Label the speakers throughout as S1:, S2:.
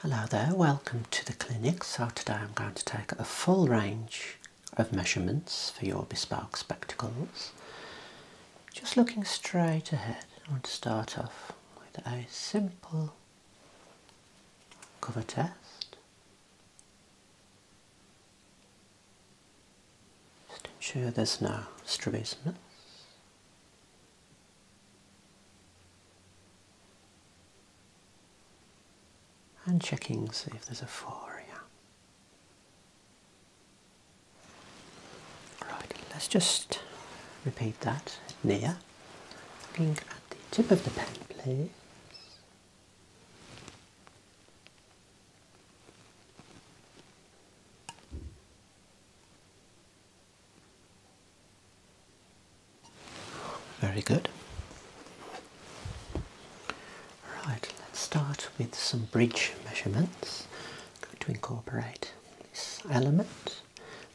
S1: Hello there, welcome to the clinic. So today I'm going to take a full range of measurements for your bespoke spectacles. Just looking straight ahead, I want to start off with a simple cover test. Just ensure there's no strabismus. And checking, see if there's a four here. Right, let's just repeat that near. Looking at the tip of the pen, please. Very good. Right, let's start with some bridge measurements. to incorporate this element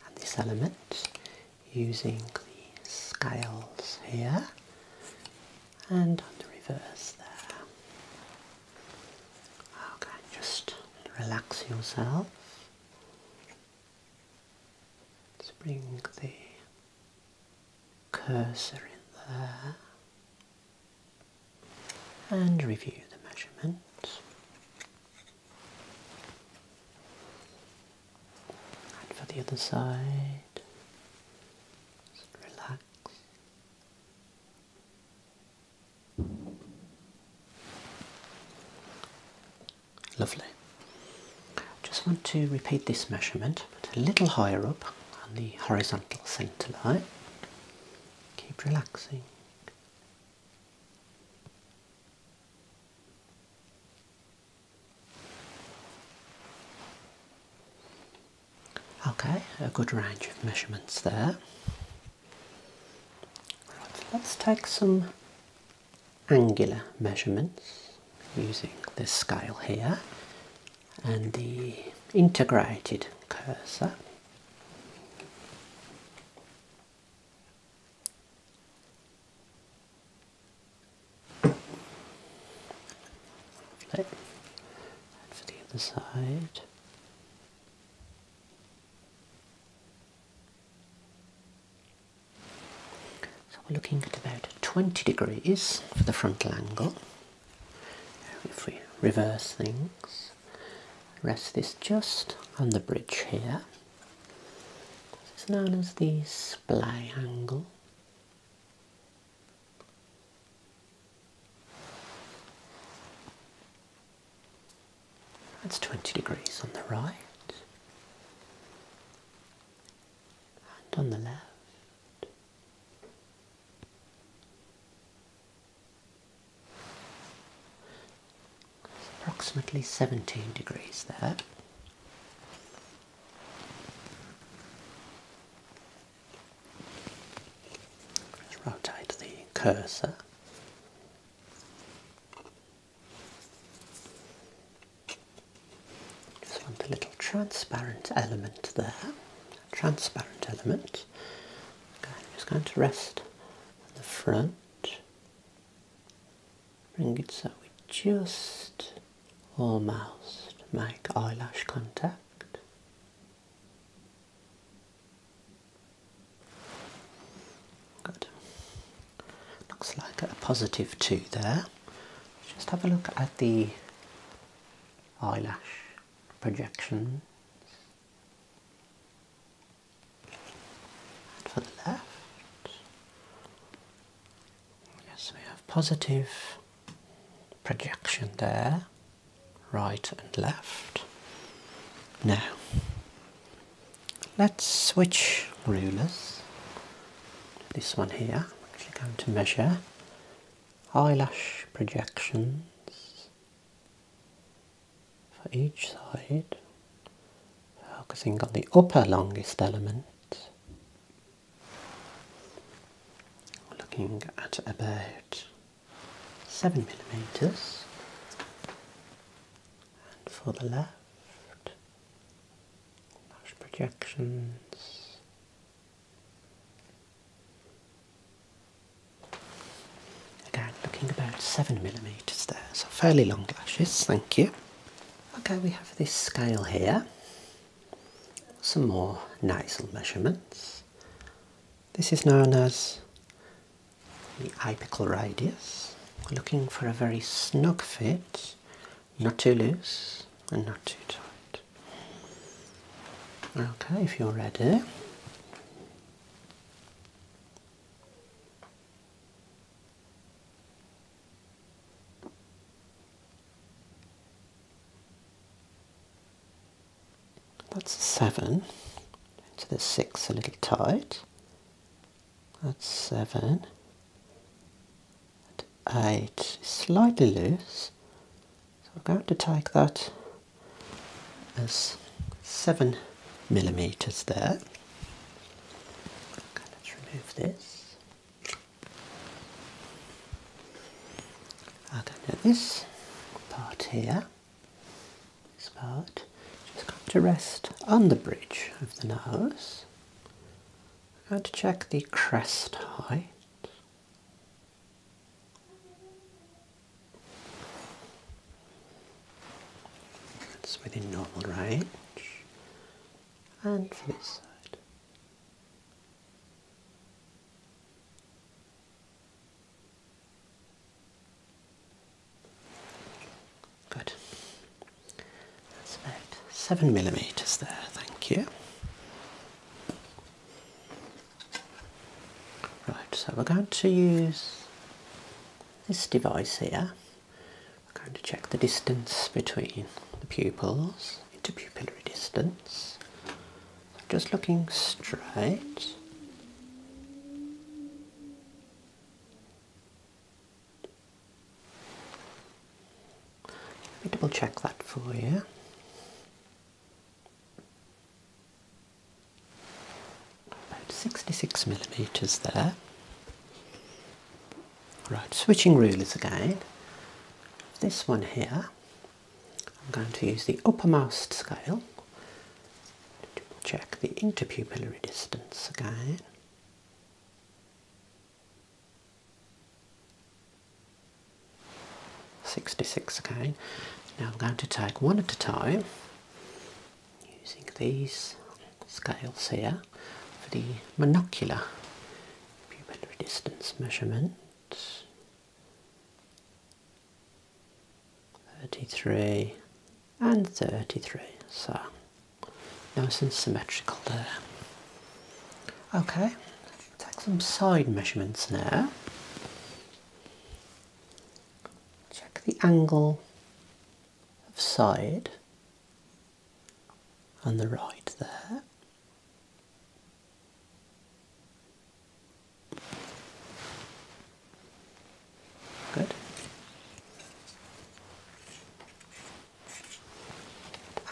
S1: and this element using the scales here and on the reverse there. Okay, just relax yourself. Let's bring the cursor in there and review the measurement. And for the other side, relax. Lovely. Just want to repeat this measurement, a little higher up on the horizontal centre line. Keep relaxing. Okay, a good range of measurements there let's take some angular measurements using this scale here and the integrated cursor. for the other side. So we're looking at about 20 degrees for the frontal angle. If we reverse things, rest this just on the bridge here. This is known as the splay angle. That's 20 degrees on the right and on the left. It's approximately 17 degrees there. rotate the cursor just want a little transparent element there. transparent element. I'm just going to rest on the front. Bring it so we just almost make eyelash contact. Good. Looks like a positive two there. Just have a look at the eyelash projections. for the left. Yes, we have positive projection there right and left. Now, let's switch rulers. This one here, I'm actually going to measure eyelash projections for each side, focusing on the upper longest element. Looking at about seven millimeters, and for the left, lash projections. Again, looking about seven millimeters there, so fairly long lashes. Thank you. Okay, we have this scale here. Some more nasal measurements. This is known as the apical radius, looking for a very snug fit, not too loose and not too tight. Okay, if you're ready. That's a seven. So the six a little tight. That's seven. eight slightly loose. So I'm going to take that as seven millimeters there. Okay, let's remove this. Okay, now this part here this part just come to rest on the bridge of the nose. and check the crest height. That's within normal range. And for this side. Good. That's about seven millimeters there, thank you. Right, so we're going to use this device here. We're going to check the distance between the pupils, interpupillary distance. Just looking straight. Let me double check that for you. About 66 millimeters there. Right, switching rulers again. This one here I'm going to use the uppermost scale to check the interpupillary distance again. Sixty-six again. Now I'm going to take one at a time using these scales here for the monocular pupillary distance measurement. 33 and 33 so nice and symmetrical there okay take some side measurements now check the angle of side and the right there Good.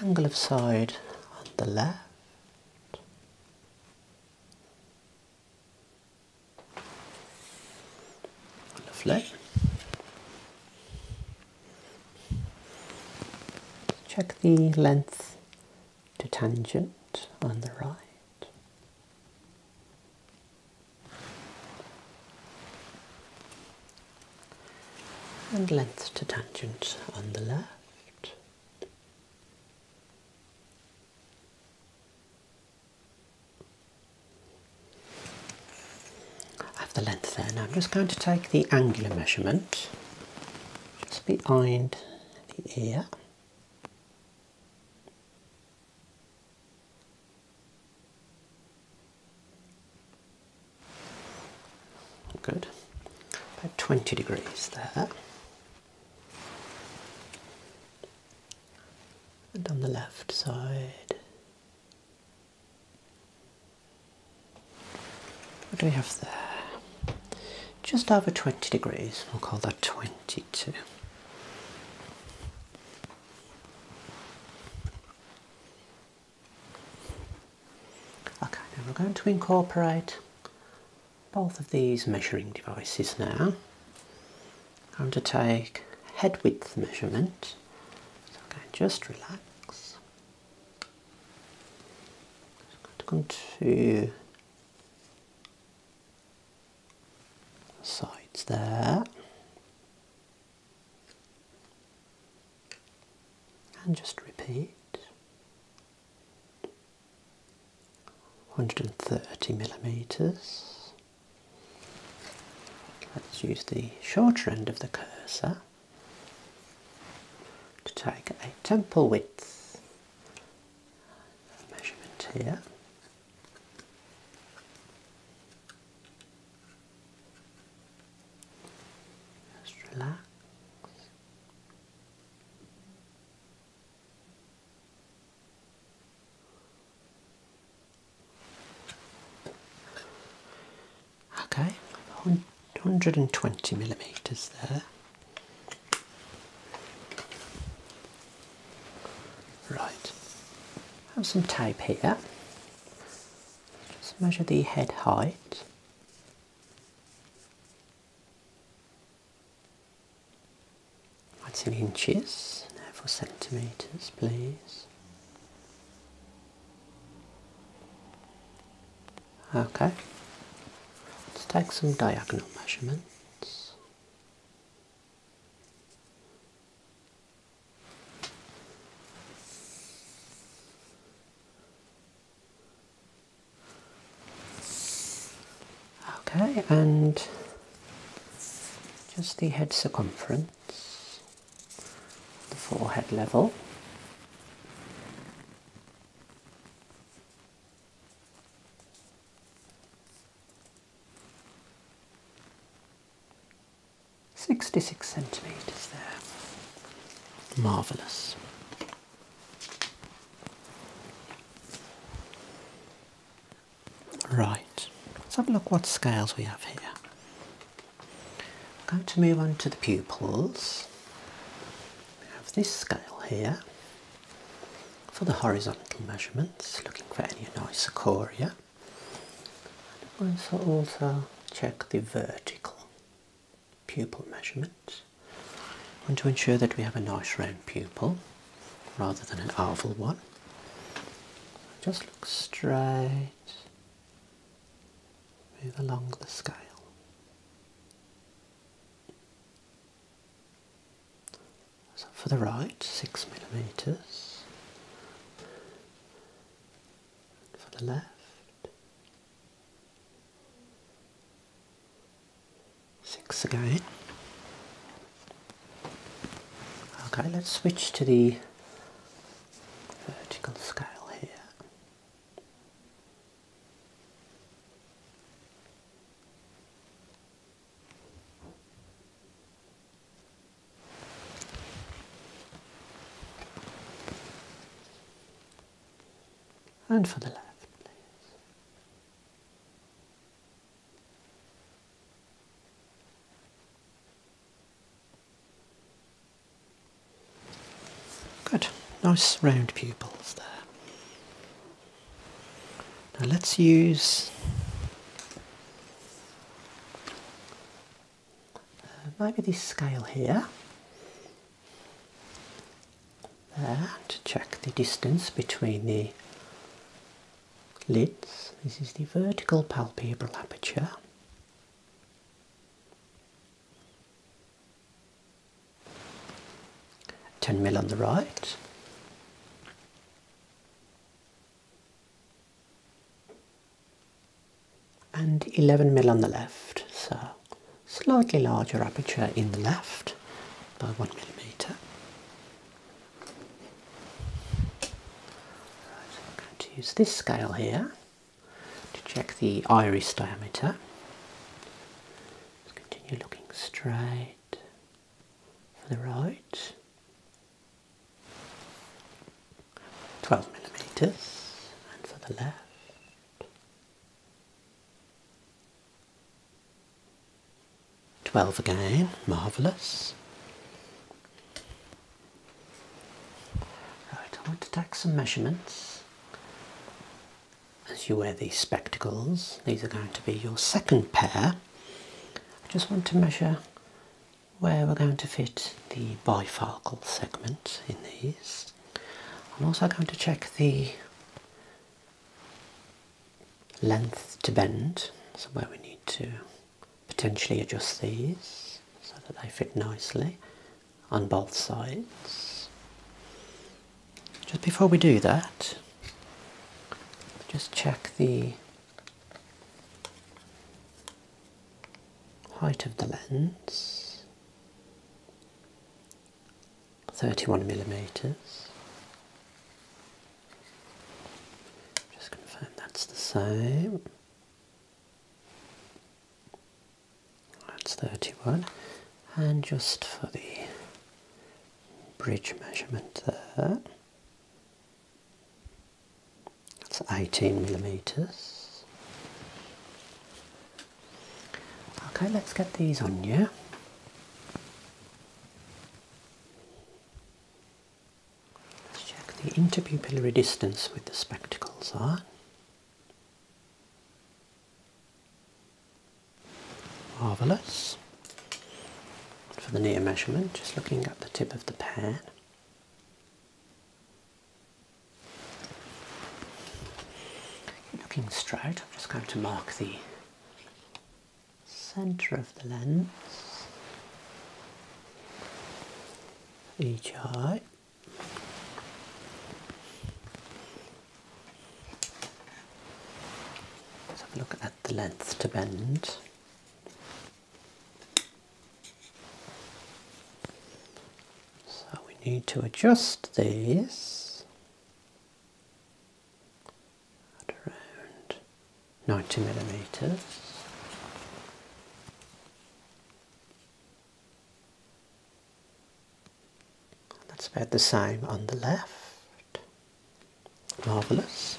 S1: Angle of side on the left. Lovely. Check the length to tangent on the right. And length to tangent on the left. I have the length there. Now I'm just going to take the angular measurement just behind the ear. Good. About 20 degrees there. And on the left side. What do we have there? just over 20 degrees. We'll call that 22. Okay, now we're going to incorporate both of these measuring devices now. I'm to take head width measurement. okay, just relax. Just going to sides there. And just repeat. 130 millimeters. Let's use the shorter end of the cursor to take a temple width measurement here. Just relax. Okay, Two hundred and twenty millimeters there. Right, have some tape here. Just measure the head height. That's in inches, therefore centimeters, please. Okay, let's take some diagonal measurements. Okay, and just the head circumference, the forehead level. 66 centimetres there. Marvellous. Right, let's have a look what scales we have here. I'm going to move on to the pupils. We have this scale here for the horizontal measurements, looking for any anisocoria. And also, also check the vertical pupil measurements. want to ensure that we have a nice round pupil rather than an oval one. Just look straight move along the scale. So for the right, six millimeters. for the left, six again. Okay, let's switch to the vertical scale here and for the left, please. Good, nice round pupils there. Now let's use uh, maybe this scale here there to check the distance between the lids. This is the vertical palpebral aperture. 10 mil on the right. and 11 mil on the left, so slightly larger aperture in the left by 1 millimeter. Right, I'm going to use this scale here to check the iris diameter. Just continue looking straight for the right. 12 millimeters and for the left. Twelve again, marvellous. I want to take some measurements. As you wear these spectacles, these are going to be your second pair. I just want to measure where we're going to fit the bifocal segment in these. I'm also going to check the length to bend, so where we need to potentially adjust these so that they fit nicely on both sides. Just before we do that, just check the height of the lens 31 millimeters just confirm that's the same that's 31. And just for the bridge measurement there, that's 18 millimetres. Okay, let's get these on you. Let's check the interpupillary distance with the spectacles on. Marvellous. For the near measurement, just looking at the tip of the pan. Looking straight, I'm just going to mark the centre of the lens. Each eye. Let's have a look at the length to bend. So we need to adjust these at around 90 millimeters. That's about the same on the left. Marvellous.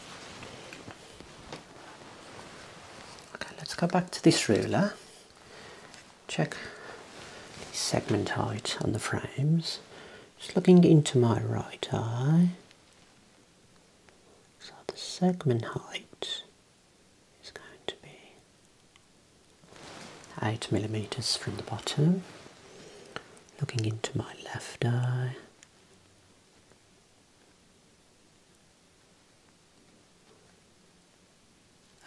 S1: Okay, let's go back to this ruler. Check the segment height on the frames. Just looking into my right eye. So the segment height is going to be 8 millimeters from the bottom, looking into my left eye.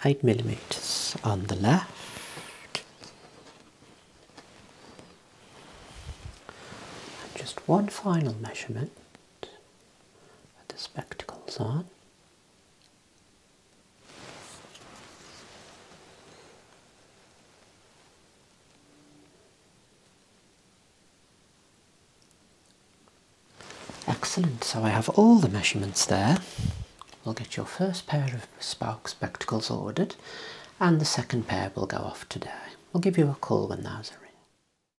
S1: Eight millimeters on the left, just one final measurement with the spectacles on. Excellent, so I have all the measurements there. We'll get your first pair of Spark spectacles ordered and the second pair will go off today. We'll give you a call when those are in.